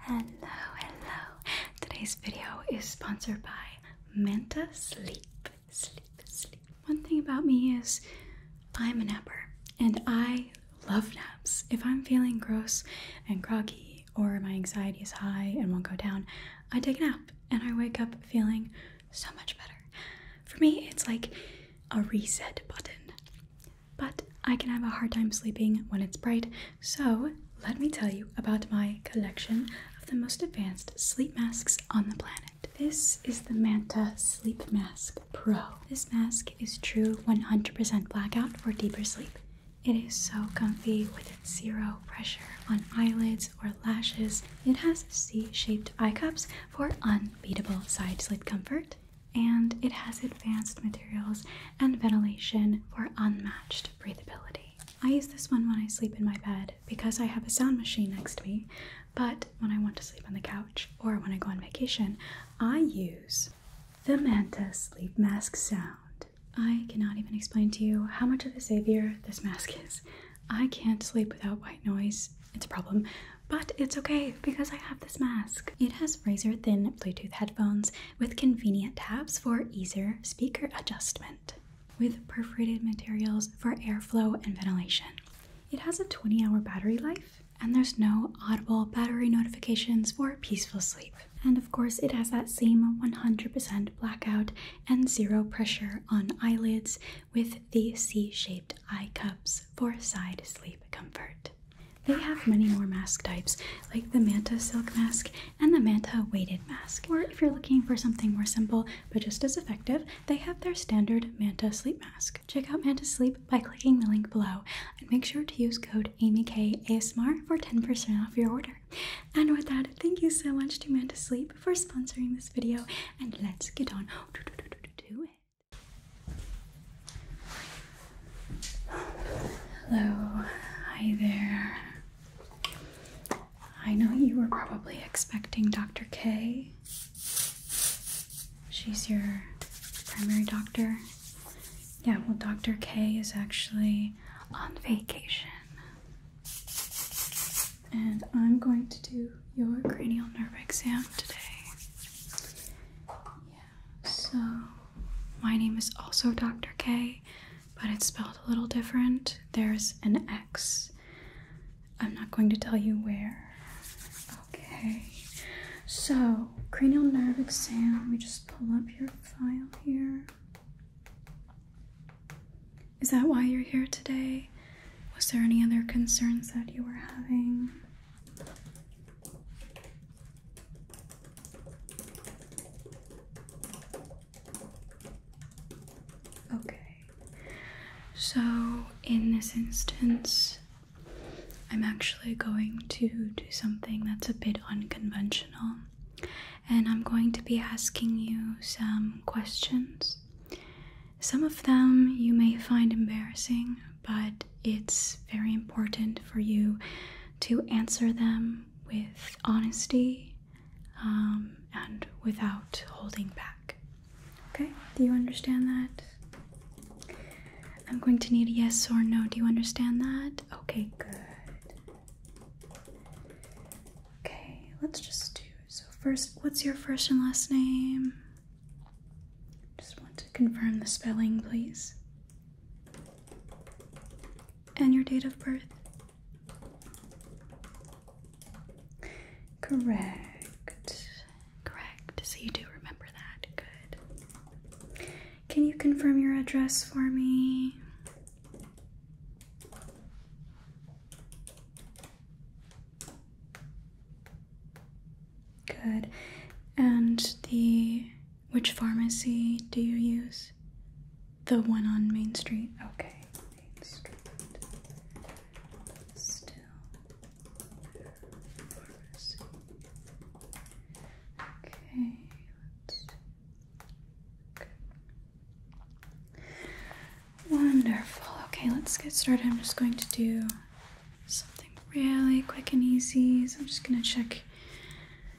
Hello, hello. Today's video is sponsored by Manta Sleep. Sleep, sleep. One thing about me is I'm a napper and I love naps. If I'm feeling gross and groggy or my anxiety is high and won't go down, I take a nap and I wake up feeling so much better. For me, it's like a reset button but I can have a hard time sleeping when it's bright. So, let me tell you about my collection of the most advanced sleep masks on the planet. This is the Manta Sleep Mask Pro. This mask is true 100% blackout for deeper sleep. It is so comfy with its zero pressure on eyelids or lashes. It has C-shaped eye cups for unbeatable side sleep comfort and it has advanced materials and ventilation for unmatched breathability. I use this one when I sleep in my bed because I have a sound machine next to me, but when I want to sleep on the couch or when I go on vacation, I use the Manta Sleep Mask Sound. I cannot even explain to you how much of a savior this mask is. I can't sleep without white noise, it's a problem, but it's okay because I have this mask. It has razor thin Bluetooth headphones with convenient tabs for easier speaker adjustment. With perforated materials for airflow and ventilation. It has a 20 hour battery life, and there's no audible battery notifications for peaceful sleep. And of course, it has that same 100% blackout and zero pressure on eyelids with the C shaped eye cups for side sleep comfort. They have many more mask types, like the Manta silk mask and the Manta weighted mask. Or if you're looking for something more simple but just as effective, they have their standard Manta sleep mask. Check out Manta Sleep by clicking the link below and make sure to use code AmyKASMR for 10% off your order. And with that, thank you so much to Manta Sleep for sponsoring this video, and let's get on to it. Hello, hi there. I know you were probably expecting Dr. K. She's your primary doctor. Yeah, well, Dr. K is actually on vacation. And I'm going to do your cranial nerve exam today. So, my name is also Dr. K, but it's spelled a little different. There's an X. I'm not going to tell you where. Okay. So, cranial nerve exam. Let me just pull up your file here. Is that why you're here today? Was there any other concerns that you were having? Okay, so in this instance, I'm actually going to do something that's a bit unconventional, and I'm going to be asking you some questions. Some of them you may find embarrassing, but it's very important for you to answer them with honesty um, and without holding back. Okay, do you understand that? I'm going to need a yes or no. Do you understand that? Okay, good. Okay, let's just do so. First, what's your first and last name? Just want to confirm the spelling, please. And your date of birth? Correct. Correct. So you do remember that. Good. Can you confirm your address for me? Good. And the which pharmacy do you use? The one on Main Street? Okay, Main Street. Still Pharmacy. okay. Wonderful. Okay, let's get started. I'm just going to do something really quick and easy. So I'm just gonna check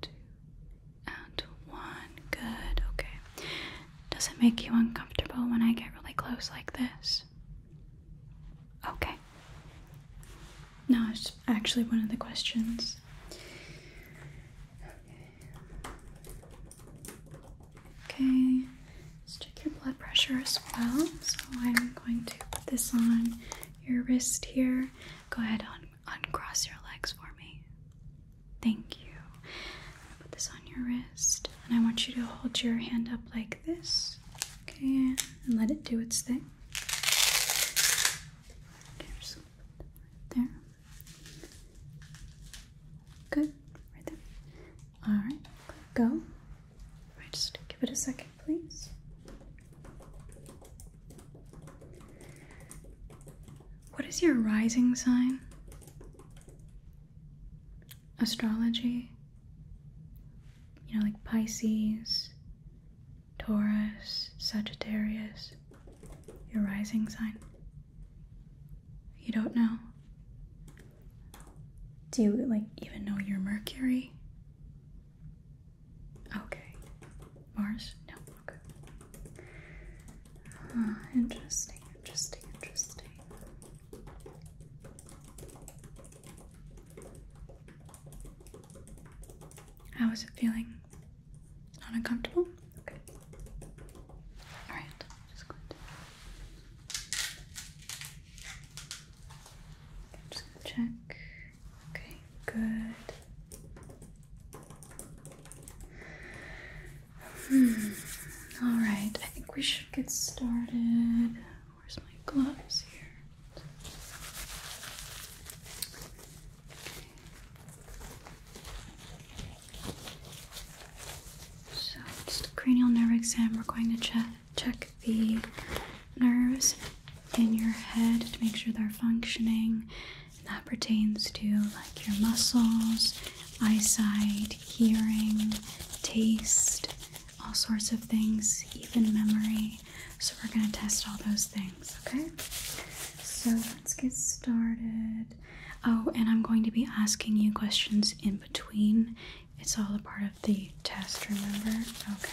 two, and one. Good, okay. Does it make you uncomfortable when I get really close like this? Okay. No, it's actually one of the questions. Okay, let's check your blood pressure as well. So I'm going to put this on your wrist here. Go ahead on uncross your legs for me? Thank you. i put this on your wrist, and I want you to hold your hand up like this, okay, and let it do its thing. there. Good, right there. All right, go. All right, just give it a second, please. What is your rising sign? Astrology? You know, like Pisces, Taurus, Sagittarius. Your rising sign? You don't know? Do you, like, even know your Mercury? Okay. Mars? No. Okay. Uh, interesting, interesting, interesting. How is it feeling? Not uncomfortable? Okay. Alright, just gonna check. Okay, good. Hmm. All right, I think we should get started. Where's my gloves here? So, just cranial nerve exam. We're going to check check the nerves in your head to make sure they're functioning. And that pertains to like your muscles, eyesight, hearing, taste, all sorts of things, even memory. So we're going to test all those things, okay? So let's get started. Oh, and I'm going to be asking you questions in between. It's all a part of the test, remember? Okay.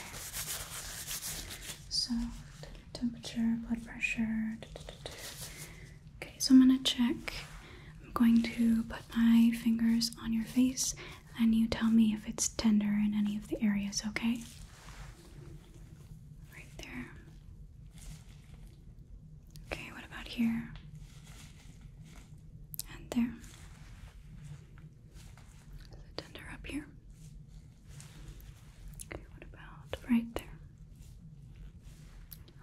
So temperature, blood pressure. Okay, so I'm gonna check. I'm going to put my fingers on your face and you tell me if it's tender in any of the areas, okay? Right there. Okay, what about here? And there. Is tender up here? Okay, what about right there?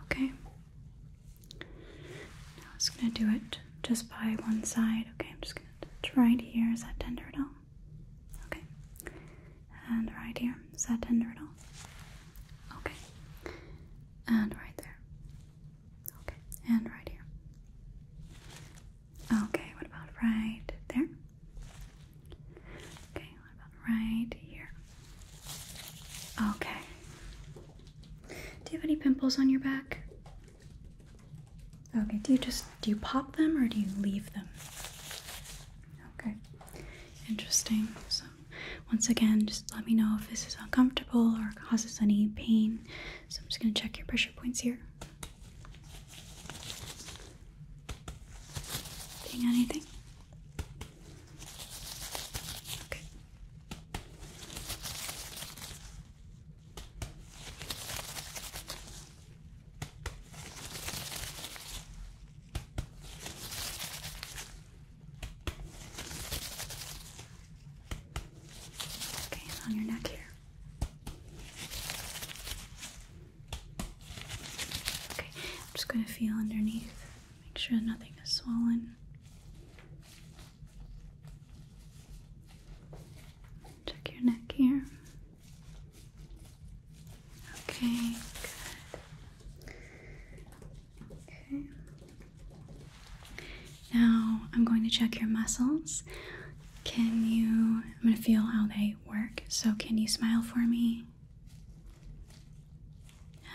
Okay. Now I'm just gonna do it just by one side. Okay, I'm just gonna touch right here. Is that tender at all? Okay. And right here. Is that tender at all? Okay. And right there. Okay. And right here. Okay, what about right there? Okay, right here? Okay. Do you have any pimples on your back? Okay, do you just do you pop them or do you leave them? Okay. Interesting. So once again, just let me know if this is uncomfortable or causes any pain. So I'm just gonna check your pressure points here. Seeing anything? Okay. Okay, on your neck here. Okay, I'm just going to feel underneath, make sure nothing is swollen. Check your neck here. Okay, good. Okay. Now I'm going to check your muscles. Can you? I'm going to feel how they work. So, can you smile for me?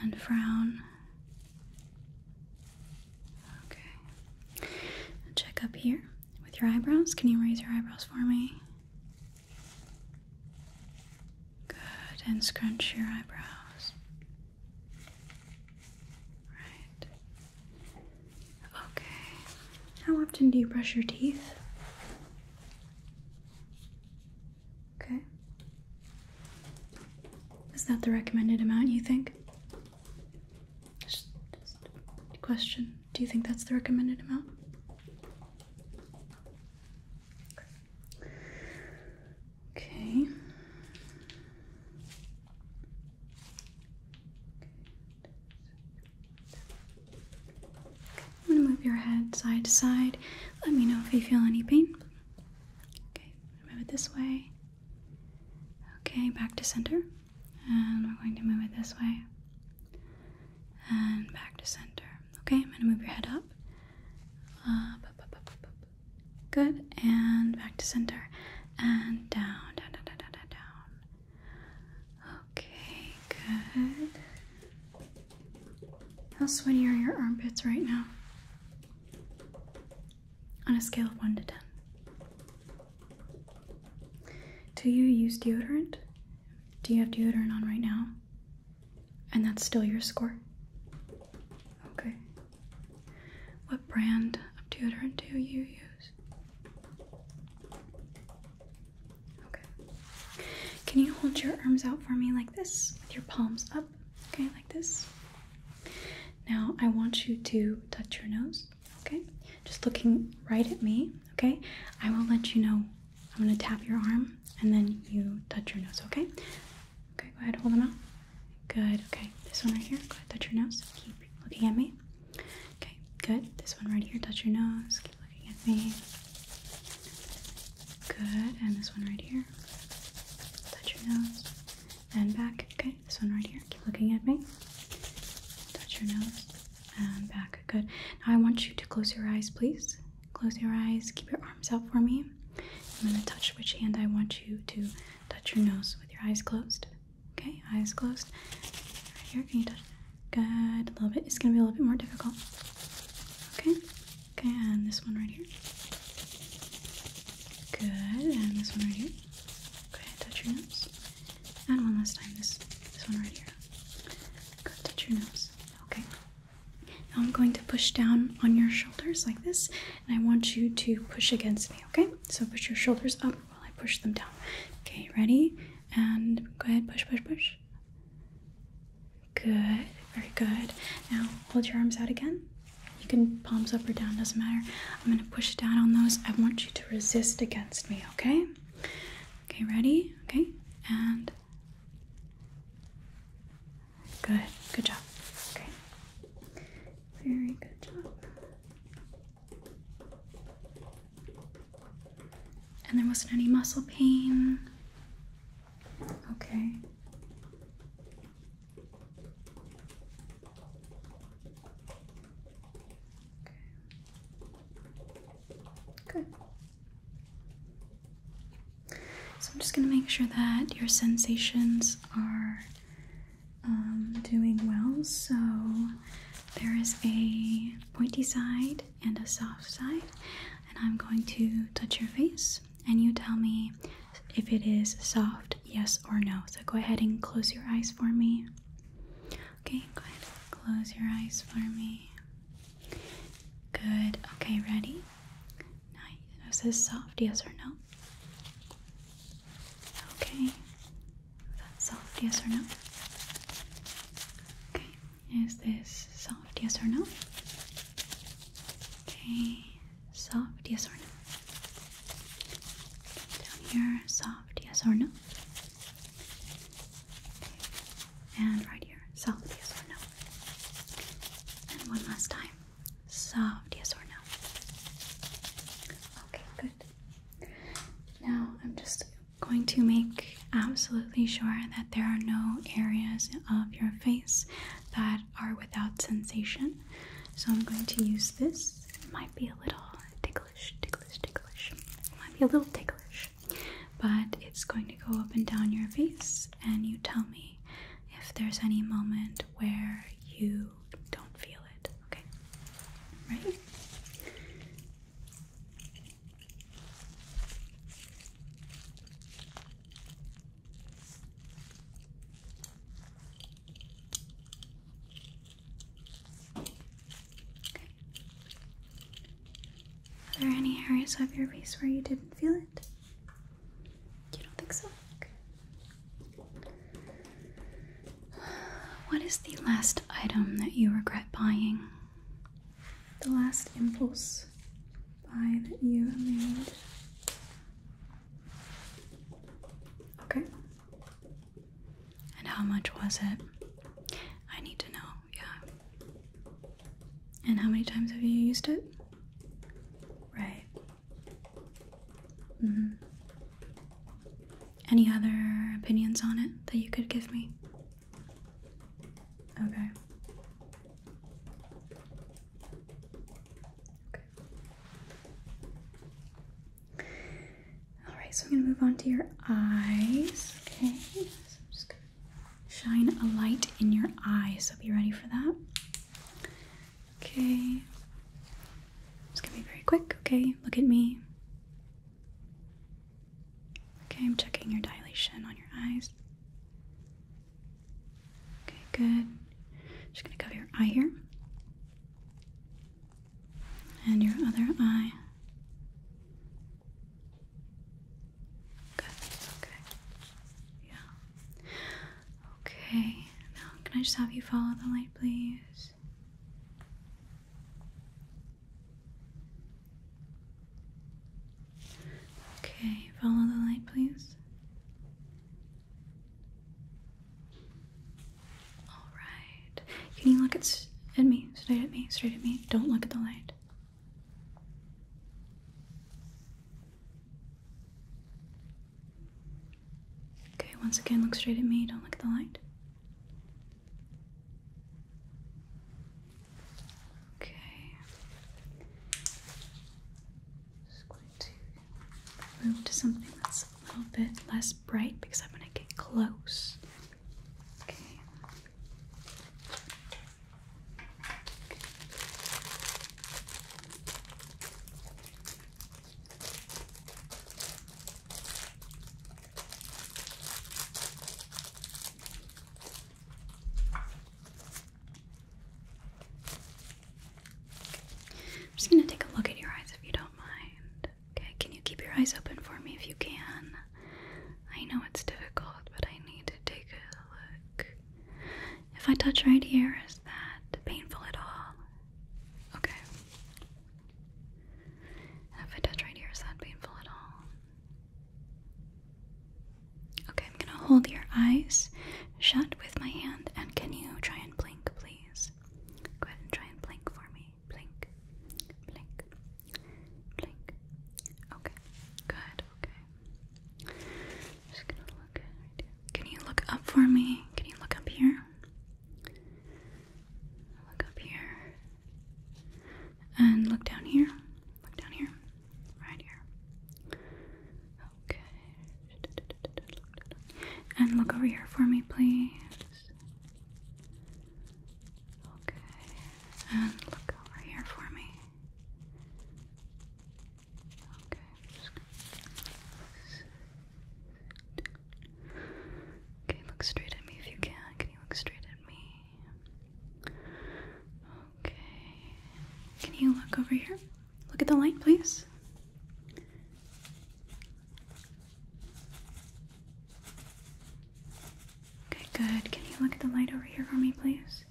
And frown. Okay. Check up here with your eyebrows. Can you raise your eyebrows for me? Good. And scrunch your eyebrows. Right. Okay. How often do you brush your teeth? Okay. Is that the recommended amount you think? Just, just question. Do you think that's the recommended amount? Okay. I'm going to move your head side to side. Let me know if you feel any pain. Okay, move it this way. Okay, back to center. And we're going to move it this way. And back to center. Okay, I'm going to move your head up. Uh, Good. And back to center. And down, down, down, down, down, down. Okay, good. How sweaty are your armpits right now? On a scale of 1 to 10. Do you use deodorant? Do you have deodorant on right now? And that's still your score? Okay. What brand of deodorant do you use? Okay. Can you hold your arms out for me like this with your palms up? Okay, like this. Now I want you to touch your nose. Okay? Just looking right at me. Okay? I will let you know. I'm going to tap your arm and then you touch your nose. Okay? Okay, go ahead. Hold them out. Good. Okay. This one right here. Go ahead. Touch your nose. Keep looking at me. Okay. Good. This one right here. Touch your nose looking at me. Good. And this one right here. Touch your nose. And back. Okay. This one right here. Keep looking at me. Touch your nose. And back. Good. Now I want you to close your eyes, please. Close your eyes. Keep your arms out for me. I'm going to touch which hand I want you to touch your nose with your eyes closed. Okay, eyes closed. Right here, can you touch Good. A little bit. It's gonna be a little bit more difficult. Okay. Okay, and this one right here. Good. And this one right here. Okay, touch your nose. And one last time, this this one right here. Good, touch your nose. Okay. Now I'm going to push down on your shoulders like this, and I want you to push against me, okay? So push your shoulders up while I push them down. Okay, ready? And go ahead, push, push, push. Good, very good. Now hold your arms out again. You can palms up or down, doesn't matter. I'm gonna push down on those. I want you to resist against me, okay? Okay, ready? Okay, and good, good job. Okay, very good job. And there wasn't any muscle pain. Okay. Okay. So I'm just going to make sure that your sensations are um, doing well. So there is a pointy side and a soft side. And I'm going to touch your face, and you tell me if it is soft, yes or no. So go ahead and close your eyes for me. Okay, go ahead. Close your eyes for me. Good. Okay, ready? Now, is soft, yes or no? Okay. That's soft, yes or no? Okay. Is this soft, yes or no? Okay, soft, yes or no? Down here, soft, yes or no? Okay. And right here, soft, yes or no? And one last time, soft, yes or no? Okay, good. Now I'm just going to make absolutely sure that there are no areas of your face that are without sensation. So I'm going to use this. It might be a little ticklish, ticklish, ticklish. It might be a little ticklish, but it's going to go up and down your face, and you tell me if there's any moment where you don't feel it. Okay? Ready? Are there any areas of your face where you didn't feel it? You don't think so? What is the last item that you regret buying? the last impulse buy that you made. Okay. And how much was it? I need to know, yeah. And how many times have you used it? Right. -hmm. Any other opinions on it that you could give me? Okay. All right, so I'm going to move on to your eyes. Okay. I'm just going to shine a light in your eyes. So be ready for that. Okay. It's going to be very quick. Okay. Look at me. Okay, I'm checking your dilation on your eyes. Okay, good. Just gonna cover your eye here. And your other eye. Good, okay. Yeah. Okay, now can I just have you follow the light, please? Okay, follow the light, please. All right. Can you look at at me? Straight at me. Straight at me. Don't look at the light. Okay, once again, look straight at me. Don't look at the light. Okay. Just going to move to something that's a little bit less bright because I'm going to get close. Okay. I'm just going to take a look at your eyes if you don't mind. Okay, can you keep your eyes open for me if you can? I know it's difficult, but I need to take a look. If I touch right here, is that painful at all? Okay. If I touch right here, is that painful at all? Okay, I'm gonna hold your eyes shut with my hand, and can you try and blink, please? Go ahead and try and blink for me. Blink, blink, blink. Okay, good, okay. Just gonna look Can you look up for me? Can you look up here? Look up here. And look down here. Look down here. Right here. Okay. And look over here for me, please. Okay. And look over here for me. Okay. Okay, look straight at me if you can. Can you look straight at me? Okay. Can you look over here? Look at the light, please. Okay, good. Can you look at the light over here for me, please?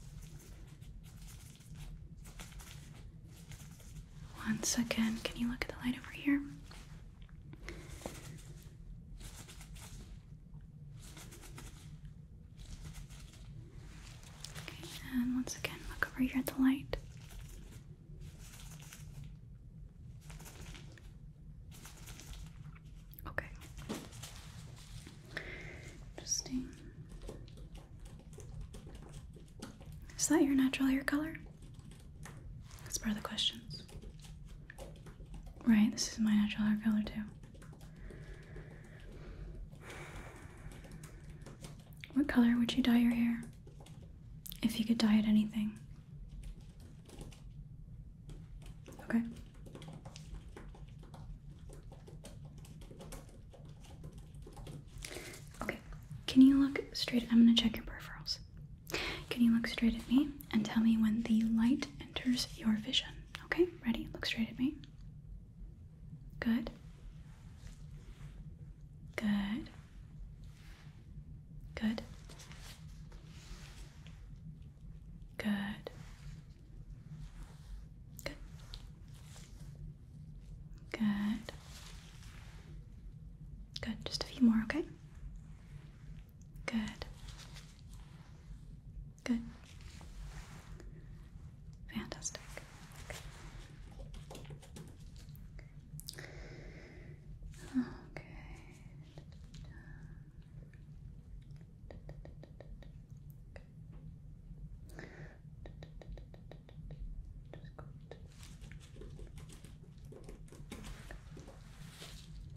Once again, can you look at the light over here? and once again, look over here at the light. Okay. Interesting. Is that your natural hair color? That's part of the questions. Right, this is my natural hair color too. What color would you dye your hair? If you could dye it anything. Okay. Okay, can you look straight? I'm gonna check your peripherals. Can you look straight at me and tell me when the light enters your vision? Okay, ready? Look straight at me. Good. Good. Good. Good. Good. Good. Just a few more, okay? Good. Good. Fantastic. Okay.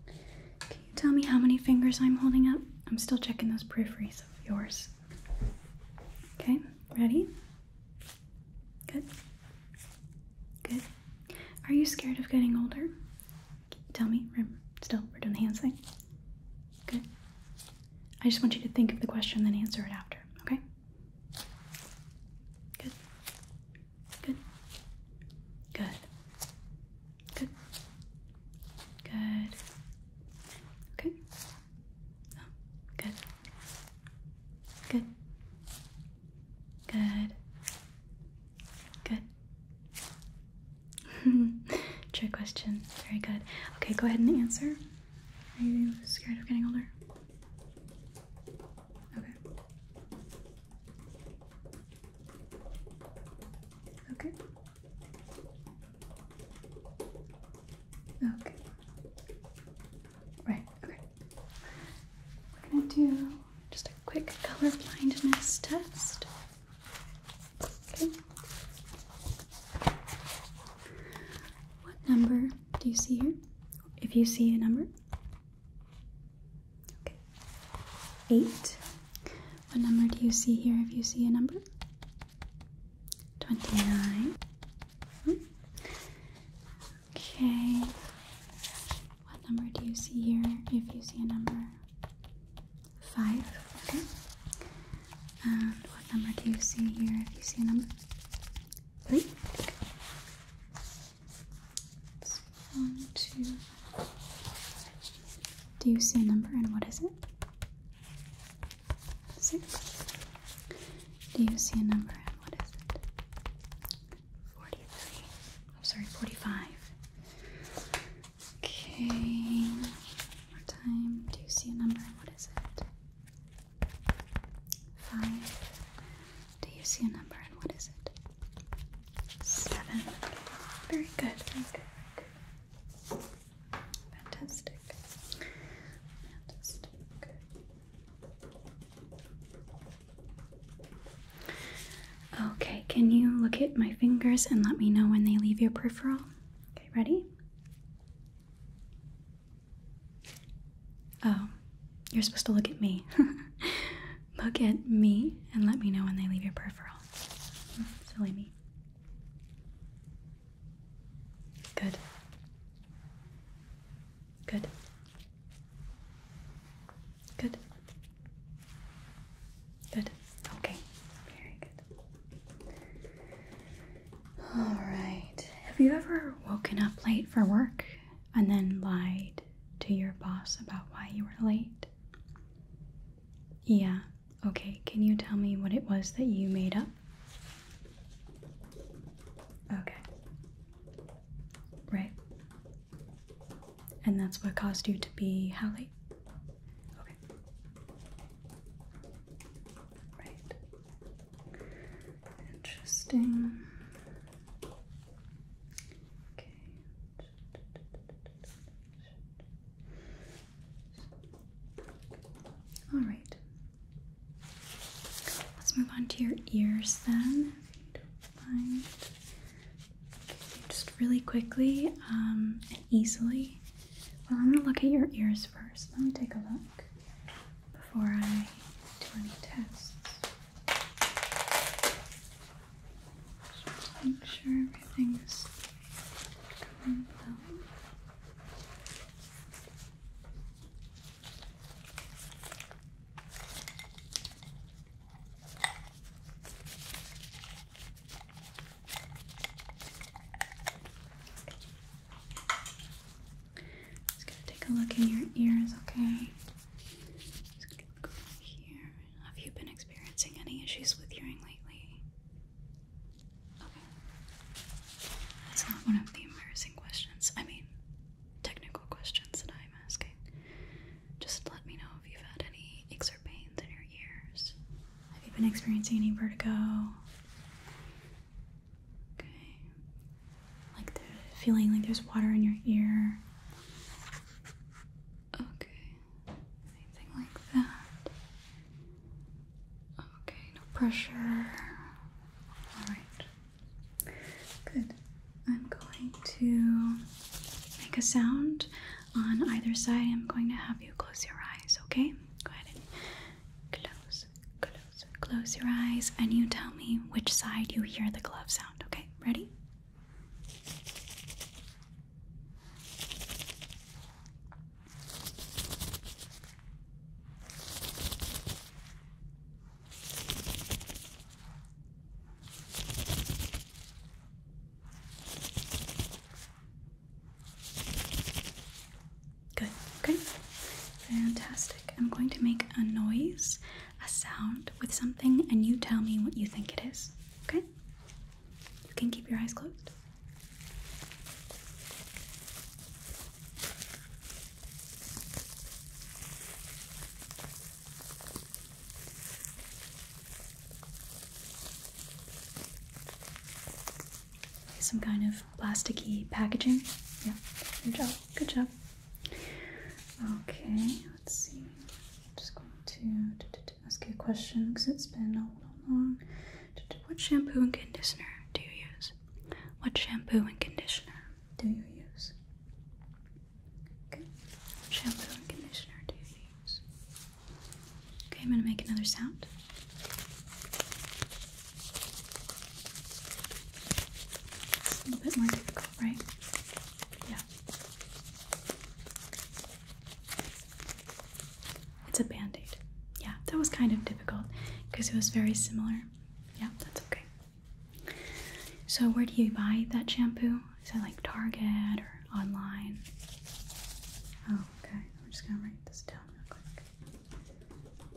Can you tell me how many fingers I'm holding up? I'm still checking those peripheries of yours. Okay, ready? Good. Good. Are you scared of getting older? Tell me. still, we're doing the hands thing. Good. I just want you to think of the question, then answer it after. Okay. Good. Good. Good. Good. Good. Okay. Oh, good. Good. Good. Good. Trick question. Very good. Okay, go ahead and answer. Are you scared of getting older? Okay. Okay. Okay. Right, okay. We're gonna do just a quick color blindness test. Okay. What number do you see here? If you see a number, Okay. Eight. What number do you see here if you see a number? 29. Okay. What number do you see here if you see a number? 5. Okay. And what number do you see here if you see a number? 3. Let's Do you see a number and what is it? Six. Do you see a number and what is it? Forty-three. I'm sorry, forty-five. Okay. more time. Do you see a number and what is it? Five. Do you see a number and what is it? Seven. Very good. Very good. Fantastic. Okay, can you look at my fingers and let me know when they leave your peripheral? Okay, ready? Oh, you're supposed to look at me. look at me and let me know when they leave your peripheral. Silly me. Good. Good. Good. Good. Okay. Very good. All right. Have you ever woken up late for work and then lied to your boss about why you were late? Yeah, okay. Can you tell me what it was that you made up? Okay. Right. And that's what caused you to be how Okay. Right. Interesting. Okay. All right. Let's move on to your ears then. just really quickly um, and easily. Well, I'm gonna look at your ears first. Let me take a look before I do any tests. Just make sure everything is coming well. Just gonna take a look in your ears, okay? Just gonna look over here have you been experiencing any issues with hearing lately? Okay. That's not one of the embarrassing questions. I mean, technical questions that I'm asking. Just let me know if you've had any aches or pains in your ears. Have you been experiencing any vertigo? Okay. Like the feeling like there's water in your ear. Okay. Anything like that. Okay, no pressure. Alright. Good. I'm going to make a sound on either side. I'm going to have you close your eyes, okay? Go ahead and close, close, close your eyes, and you tell me which side you hear the glove sound, okay? Ready? Good, okay, fantastic. I'm going to make a noise a sound with something and you tell me what you think it is. Okay? You can keep your eyes closed. Some kind of plasticky packaging. Yeah, good job, good job. Okay, let's see. I'm just going to ask you a question because it's been a little long. What shampoo and conditioner do you use? What shampoo and conditioner do you use? What shampoo and conditioner do you use? Okay, I'm going to make another sound. It's a little bit more difficult, right? Yeah. It's a band aid. Yeah, that was kind of difficult because it was very similar. Yeah, that's okay. So, where do you buy that shampoo? Is it like Target or online? Oh, okay. I'm just gonna write this down real quick.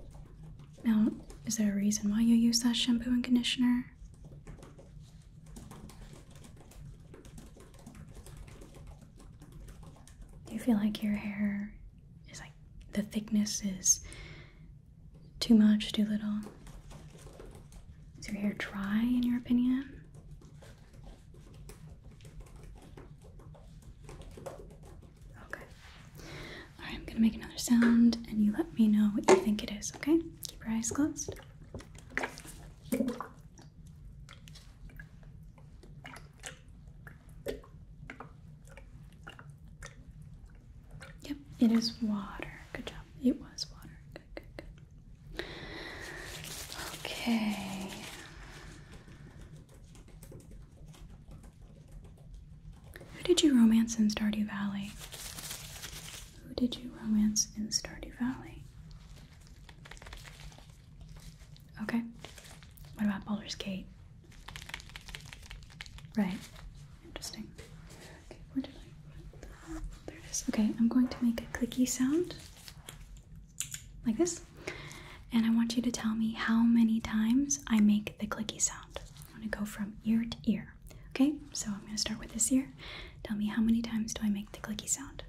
Now, is there a reason why you use that shampoo and conditioner? Do you feel like your hair is like the thickness is too much, too little? Is your hair dry in your opinion? Okay. Alright, I'm gonna make another sound and you let me know what you think it is, okay? Keep your eyes closed. Yep, it is water. Good job. It was water. Okay. Who did you romance in Stardew Valley? Who did you romance in Stardew Valley? Okay. What about Baldur's Gate? Right. Interesting. Okay, Okay, I'm going to make a clicky sound. Like this. And I want you to tell me how many times I make the clicky sound. I'm going to go from ear to ear. Okay, so I'm going to start with this ear. Tell me how many times do I make the clicky sound?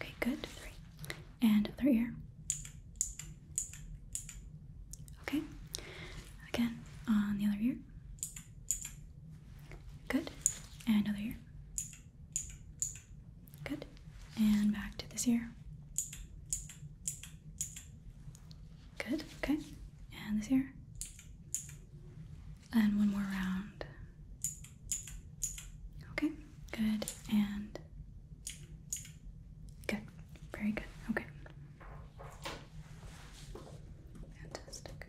Okay, good. Three. And other ear. Okay. Again, on the other ear. Good. And other ear. Good. And back to this ear. Good, okay. And this ear. And one more round. Okay, good, and good. Very good, okay. Fantastic.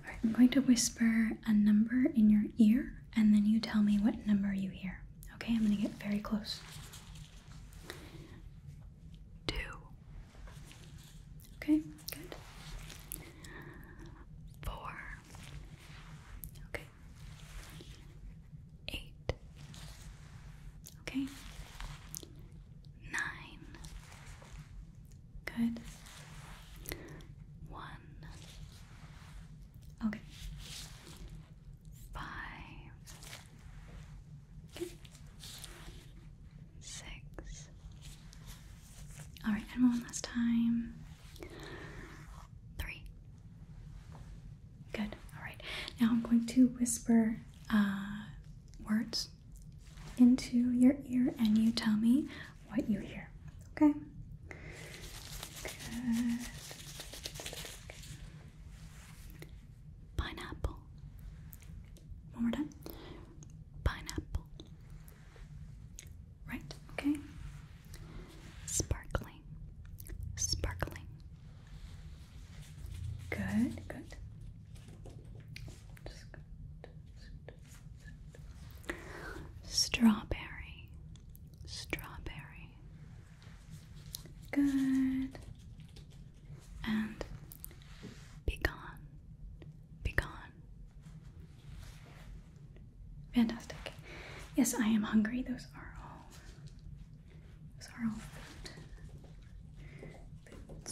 Alright, I'm going to whisper a number in your ear, and then you tell me what number you hear. Okay, I'm gonna get very close. Two. Okay, good. Four. Okay. Eight. Okay. Nine. Good. One. Okay five, six. All right, and one last time. Three. Good. All right. Now I'm going to whisper uh, words into your ear, and you tell me what you hear. Okay. Pineapple. One more time. Pineapple. Right, okay. Sparkling. Sparkling. Good, good. Strawberry. Strawberry. Good. And be gone. Be gone. Fantastic. Yes, I am hungry. Those are all those are all food.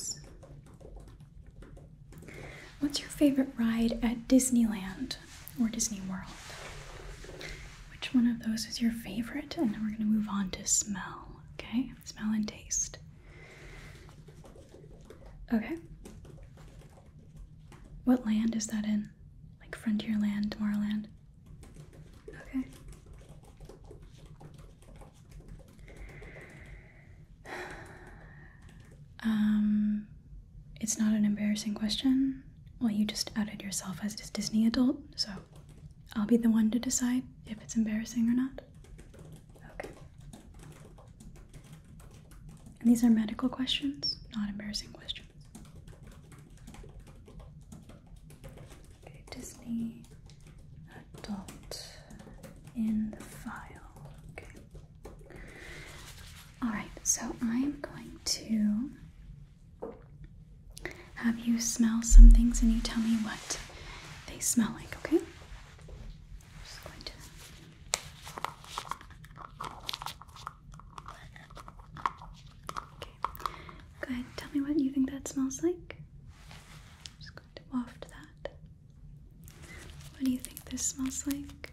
What's your favorite ride at Disneyland or Disney World? which one of those is your favorite, and then we're going to move on to smell, okay? Smell and taste. Okay. What land is that in? Like frontier land, Tomorrowland? Okay. Um, it's not an embarrassing question. Well, you just outed yourself as a Disney adult, so I'll be the one to decide if it's embarrassing or not. Okay. these are medical questions, not embarrassing questions. Okay, Disney adult in the file. Okay. Alright, so I'm going to have you smell some things and you tell me what they smell like, okay? just going to. Okay. Go ahead. Tell me what you think that smells like. just going to waft that. What do you think this smells like?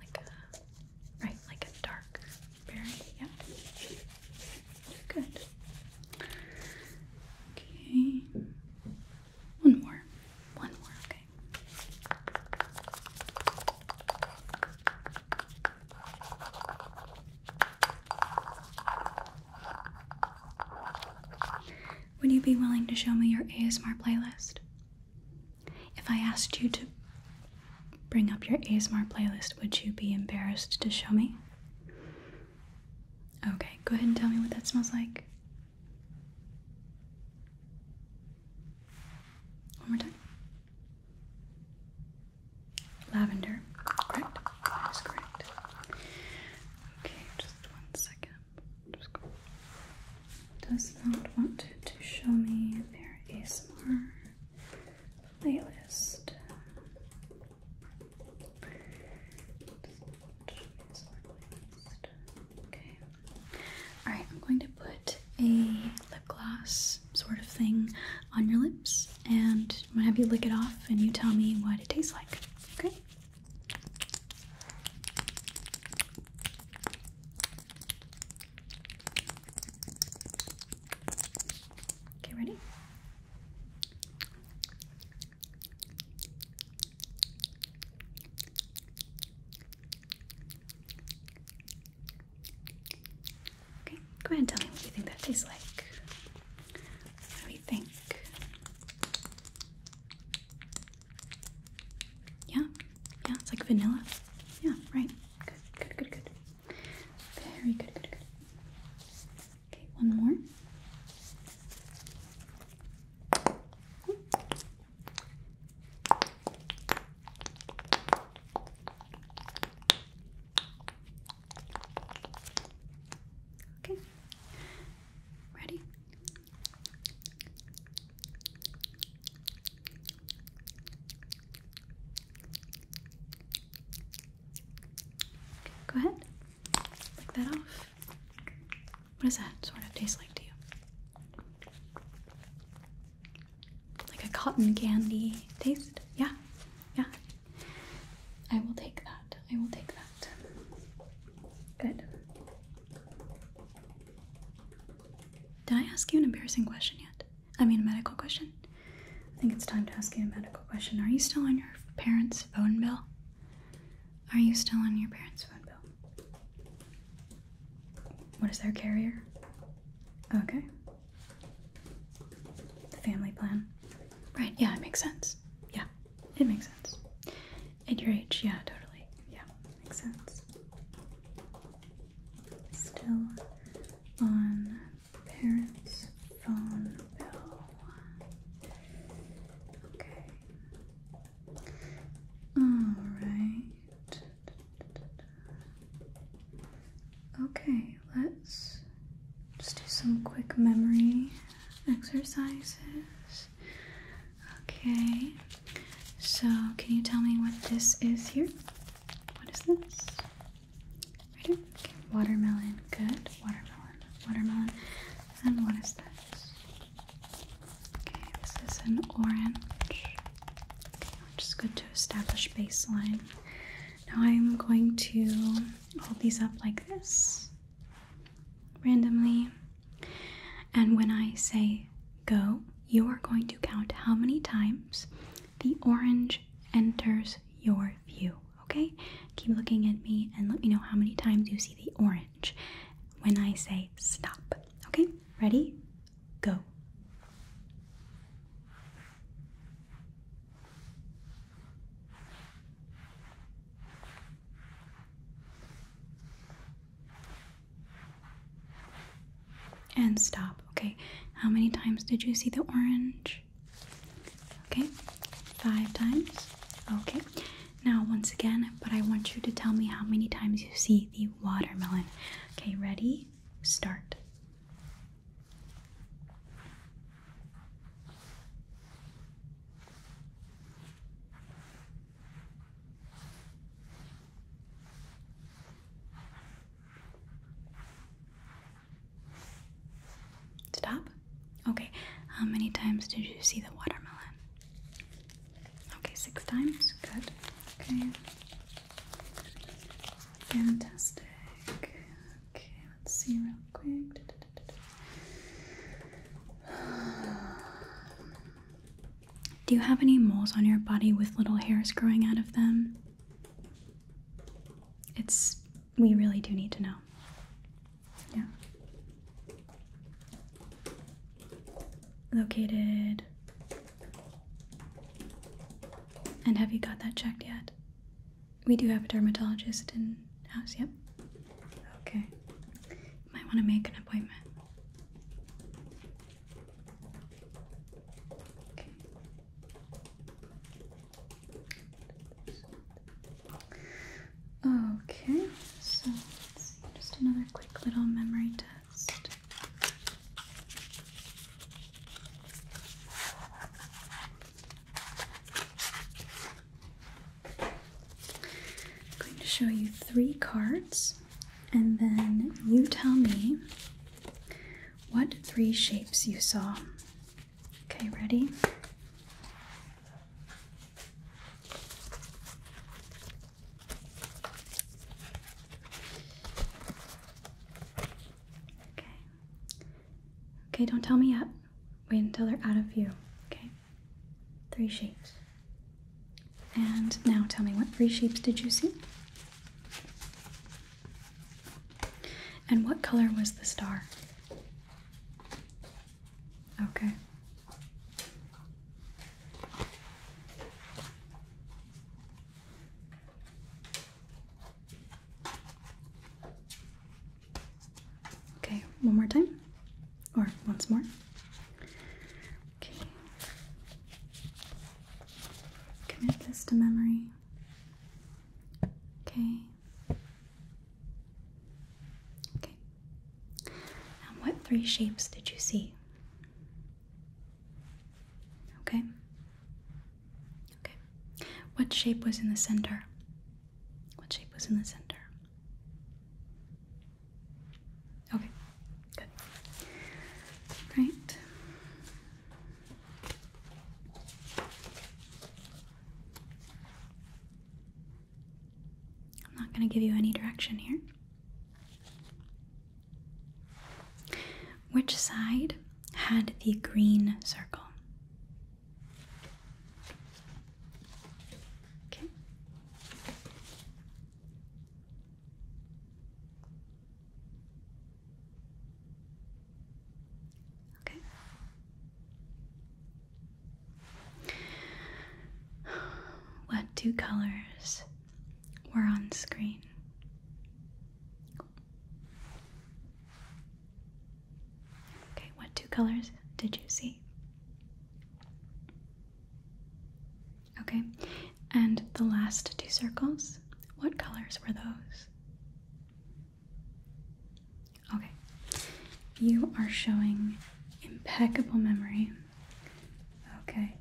Like right, like a dark berry. Yeah. Good. Okay. One more. One more, okay. Would you be willing to show me your ASMR playlist? If I asked you to bring up your ASMR playlist, would you be embarrassed to show me? Okay, go ahead and tell me what that smells like. One more time. Lavender, correct? That is correct. Okay, just one second. Just go does not want to show me their ASMR playlist. Okay. Alright, I'm going to put a lip gloss sort of thing on your lips and i have you lick it off and you tell me what it tastes like. Okay? Okay, ready? Okay, go ahead and tell me what you think that tastes like. What do you think? Yeah, yeah, it's like vanilla. Yeah, right. Good, good, good, good. Very good, good, good. Okay, one more. Okay. Ready? Go ahead, lick that off. What does that sort of taste like to you? Like a cotton candy taste? Yeah, yeah. I will take that. I will take that. Good. Did I ask you an embarrassing question yet? I mean, a medical question? I think it's time to ask you a medical question. Are you still on your parents' phone bill? Are you still on your parents' phone bill? What is their carrier? Okay. The family plan. Right, yeah, it makes sense. Yeah, it makes sense. At your age, yeah, totally. Yeah, makes sense still on parents' phone bill. Okay. All right. Okay, let's just do some quick memory exercises. Okay, so, can you tell me what this is here? What is this? watermelon. Good. Watermelon. Watermelon. And what is this? Okay, this is an orange. Okay, which is good to establish baseline. Now I'm going to hold these up like this randomly. And when I say go, you are going to count how many times the orange enters your view. Okay? Keep looking at me and let me know how many times you see the orange when I say stop. Okay? Ready? Go. And stop. Okay, how many times did you see the orange? Okay, five times. Okay, now once again, but I want you to tell me how many times you see the watermelon. Okay, ready? Start. Stop? Okay. How many times did you see the watermelon? Okay, six times. Good. Okay. Fantastic. Okay, let's see real quick. Do you have any moles on your body with little hairs growing out of them? It's. We really do need to know. Yeah. Located. And have you got that checked yet? We do have a dermatologist in house, yep. Okay. might want to make an appointment. Okay, so let's see, just another quick little memory test. I'm going to show you three cards and then you tell me what three shapes you saw. Okay, ready? Okay. Okay, don't tell me yet. Wait until they're out of view. Okay? Three shapes. And now tell me what three shapes did you see? And what color was the star? Okay. Okay, one more time. Or once more. Okay commit this to memory. Okay. Okay. And what three shapes did you see? Okay. Okay. What shape was in the center? What shape was in the center? Okay, good. Right. I'm not going to give you any direction here. Which side had the green circle? Okay. Okay. What two colors were on screen? Okay, what two colors did you see? Okay, and the last two circles, what colors were those? Okay, you are showing impeccable memory. Okay,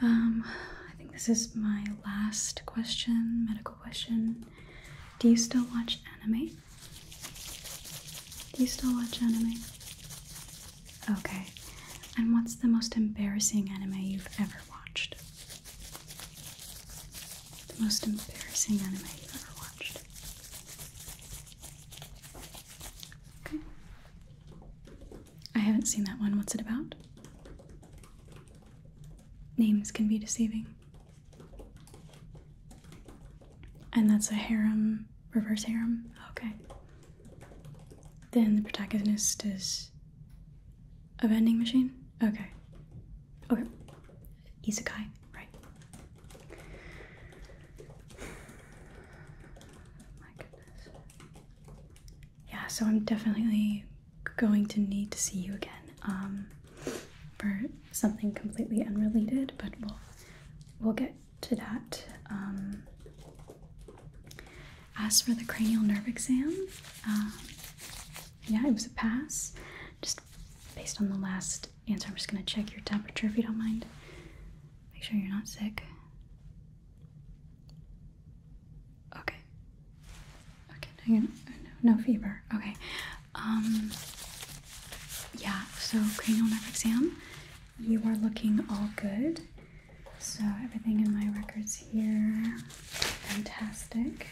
um, I think this is my last question, medical question. Do you still watch anime? Do you still watch anime? Okay. And what's the most embarrassing anime you've ever watched? The most embarrassing anime you've ever watched. Okay. I haven't seen that one. What's it about? Names can be deceiving. And that's a harem, reverse harem? Okay. Then the protagonist is a vending machine? Okay. Okay. Isekai, right. My goodness. Yeah, so I'm definitely going to need to see you again. Um, for something completely unrelated, but we'll we'll get to that. Um, as for the cranial nerve exam, um, yeah, it was a pass. Just based on the last answer, I'm just going to check your temperature if you don't mind. Make sure you're not sick. Okay. Okay, no, fever. Okay. Um, yeah, so cranial nerve exam you are looking all good. So, everything in my records here, fantastic.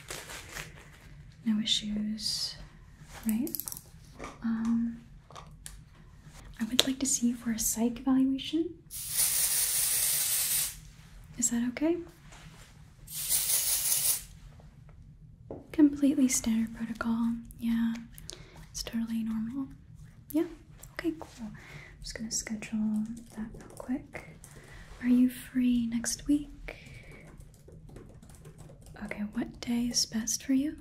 No issues, right? Um, I would like to see you for a psych evaluation. Is that okay? Completely standard protocol, yeah. It's totally normal. Yeah. Okay, cool. I'm just gonna schedule that real quick. Are you free next week? Okay, what day is best for you?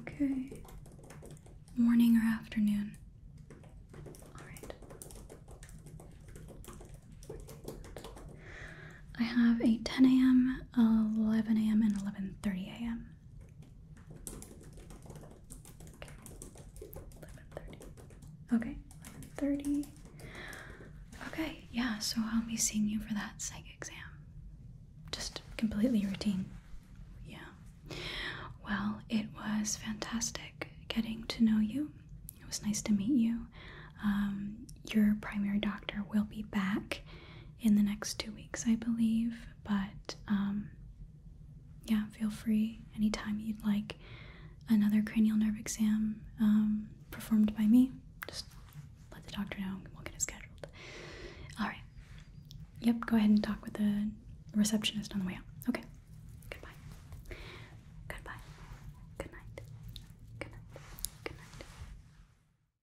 Okay. Morning or afternoon? Alright. I have a 10 a.m., 11 a.m., and 11.30 a.m. Okay, 11.30. Okay, yeah, so I'll be seeing you for that psych exam. Just completely routine. Yeah. Well, it was fantastic getting to know you. It was nice to meet you. Um, your primary doctor will be back in the next two weeks, I believe. But um, yeah, feel free anytime you'd like another cranial nerve exam um, performed by me. Just let the doctor know and we'll get it scheduled. All right. Yep, go ahead and talk with the receptionist on the way out. Okay. Goodbye. Goodbye. Good night. Good night. Good night.